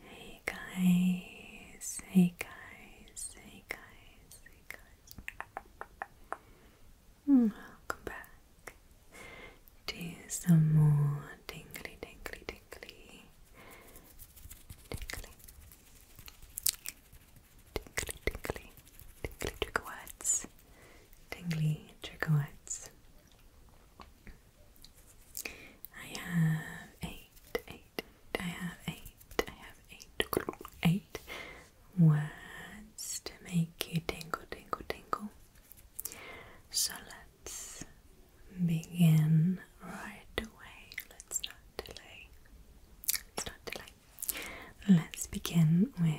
Hey guys, hey guys, hey guys, hey guys. Hmm, welcome back to some more tingly, tingly, tingly, tingly, tingly, tingly, tingly trigger words, tingly trigger words. I have eight, eight, I have eight, I have eight, eight words to make you tingle, tingle, tingle. So let's begin right away. Let's not delay. Let's not delay. Let's begin with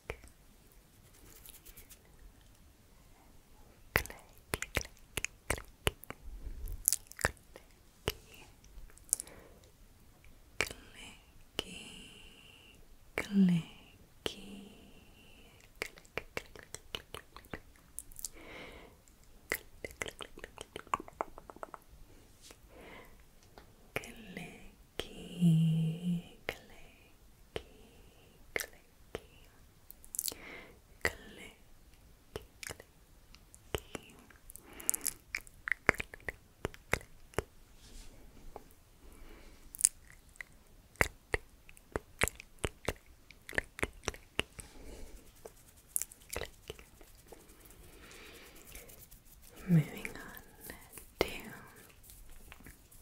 clicky, clicky, clicky, clicky, clicky, clicky, Clicky, clicky, clicky, clicky, clicky, clicky, clicky, clicky. Moving on to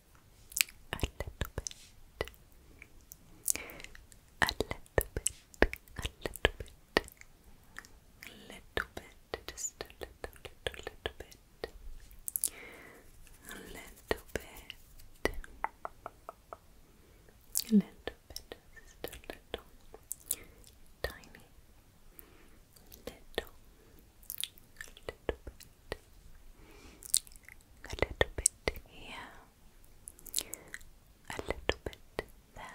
a little bit, a little bit, a little bit, a little bit, just a little, little, little bit, a little bit, a little bit, just a little, tiny, little, little bit a little bit here, a little bit there,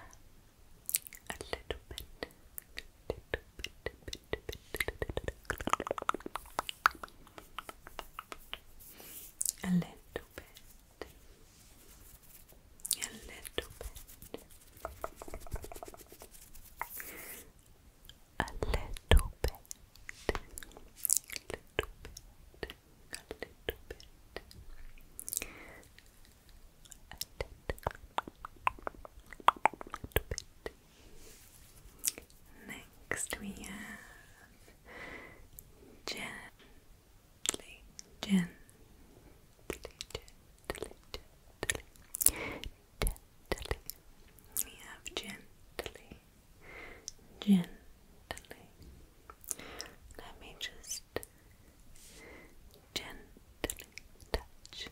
a little bit, little bit, bit, bit, bit, a little bit, a little bit. A a little bit, a little bit, a little bit. A bit. Next we have gently, gently, gently, gently, gently. We have gently, gently. Let me just gently touch.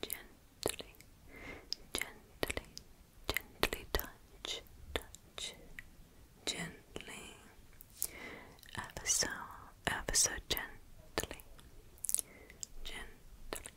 Gently, gently, gently touch, touch, gently, ever so, ever so gently, gently,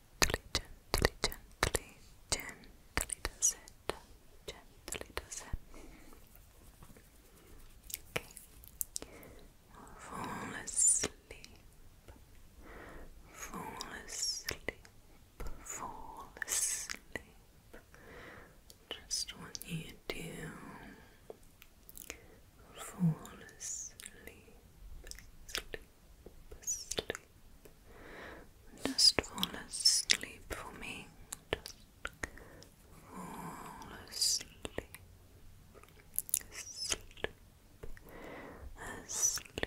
gently, gently, gently, gently does it. Gently Okay. fall asleep. Fall asleep. Fall asleep. Just want you to fall asleep sleep. Just fall asleep for me. Just fall asleep. Sleep. Asleep.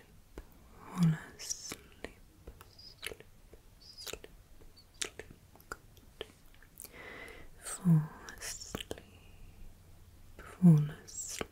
Fall asleep. Sleep. Sleep. Sleep. Good. Fall asleep. Fall asleep.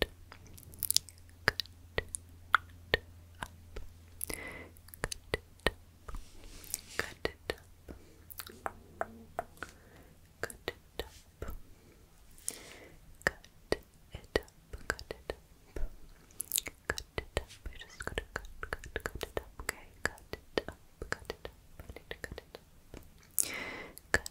Good. Good. Good. Up. Good. Cut it up. Cut it up. Cut it up. Cut it up. Cut it up. We're just gonna cut, cut, cut it up. Okay, cut it up. Cut it up. I need to cut it up. Cut. Cut.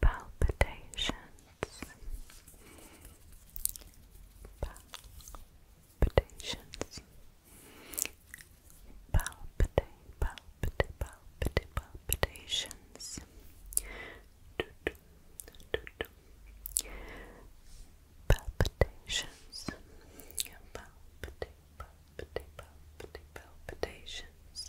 palpitations, palpitations, palpitate, palpitate, palpitate, palpitations. Do -do, do -do. Palpitations, palpitate, palpitate, palpitate, palpitations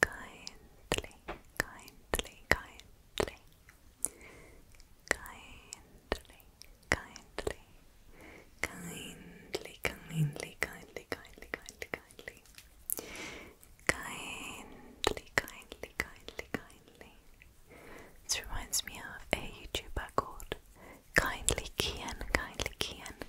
kindly, kindly, kindly, kindly, kindly, kindly, kindly, kindly, kindly, kindly, kindly. Kindly, kindly, kindly, kindly. This reminds me of a YouTuber called Kindly Kian, Kindly Kian,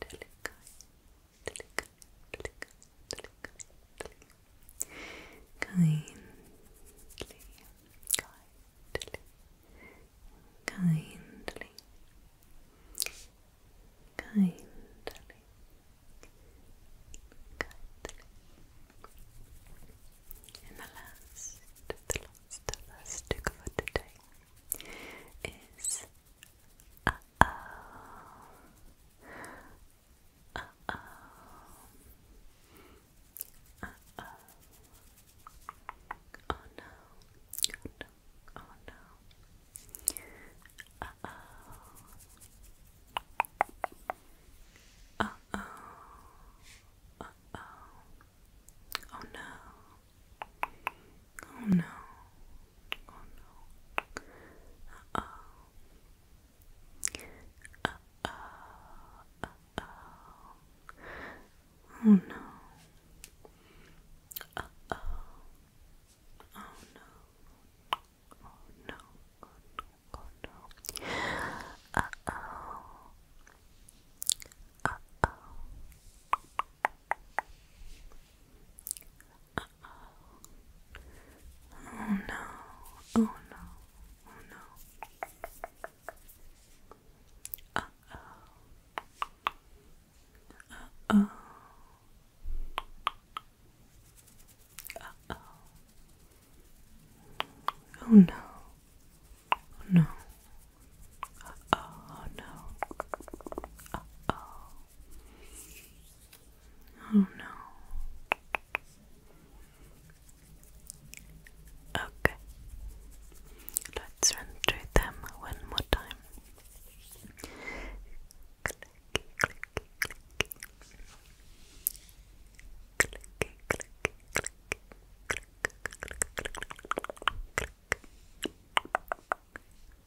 delicate, delicate, delicately, kindly, kindly, kindly, kindly, kindly. And the last, the last, the last stick for today is uh oh. Uh oh. Uh oh. Oh no. Oh no. Oh no. Uh oh. Uh oh. Uh oh. Oh no. Oh no. Oh no. Uh oh. Uh oh. Uh oh. Oh no. Uh oh. Oh no. Oh no. Oh no. Oh no. Uh oh. Uh oh. Uh oh. Oh no. Oh no. Oh no. Uh oh. Uh oh. Uh oh. Oh no. Oh no. Uh oh no. Uh oh. Oh no. Okay. Let's run through them one more time.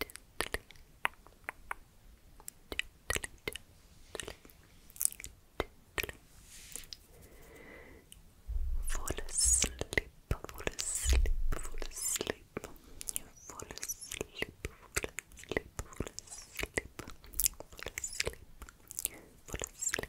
gently, gently, Fall asleep, fall asleep, fall asleep, fall asleep, fall asleep, fall asleep, fall asleep, fall asleep.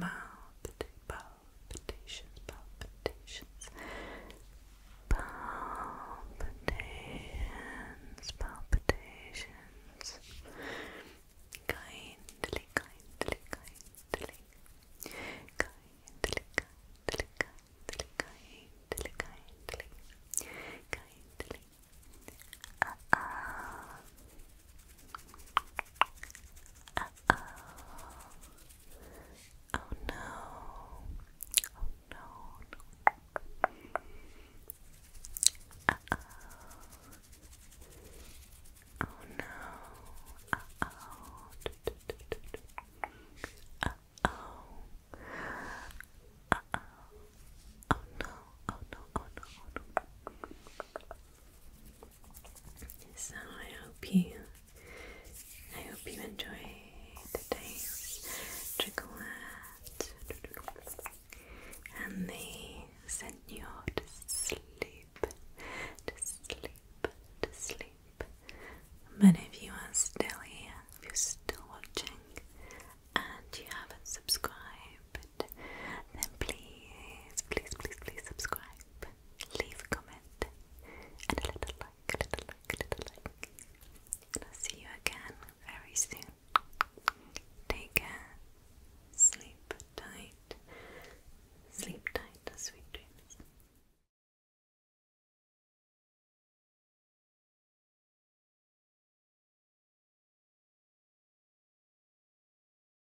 Palpita palpitations, palpitations, palpitations, palpitations. Kindly, kindly, kindly, kindly, kindly, kindly, kindly, kindly, kindly. ah. Uh oh. Oh no. Oh no. no. Uh oh. Oh no. Uh oh. Uh oh. Uh oh. Oh no. Oh no. Oh no. Oh no. So I hope you I hope you enjoy today's chocolate and they send you to sleep to sleep to sleep. But if you are still here, if you're still watching and you haven't subscribed, then please, please, please, please subscribe leave a comment, and a little like, a little like, a little like. And I'll see you again very soon. Take care. Sleep tight. Sleep tight, sweet dreams.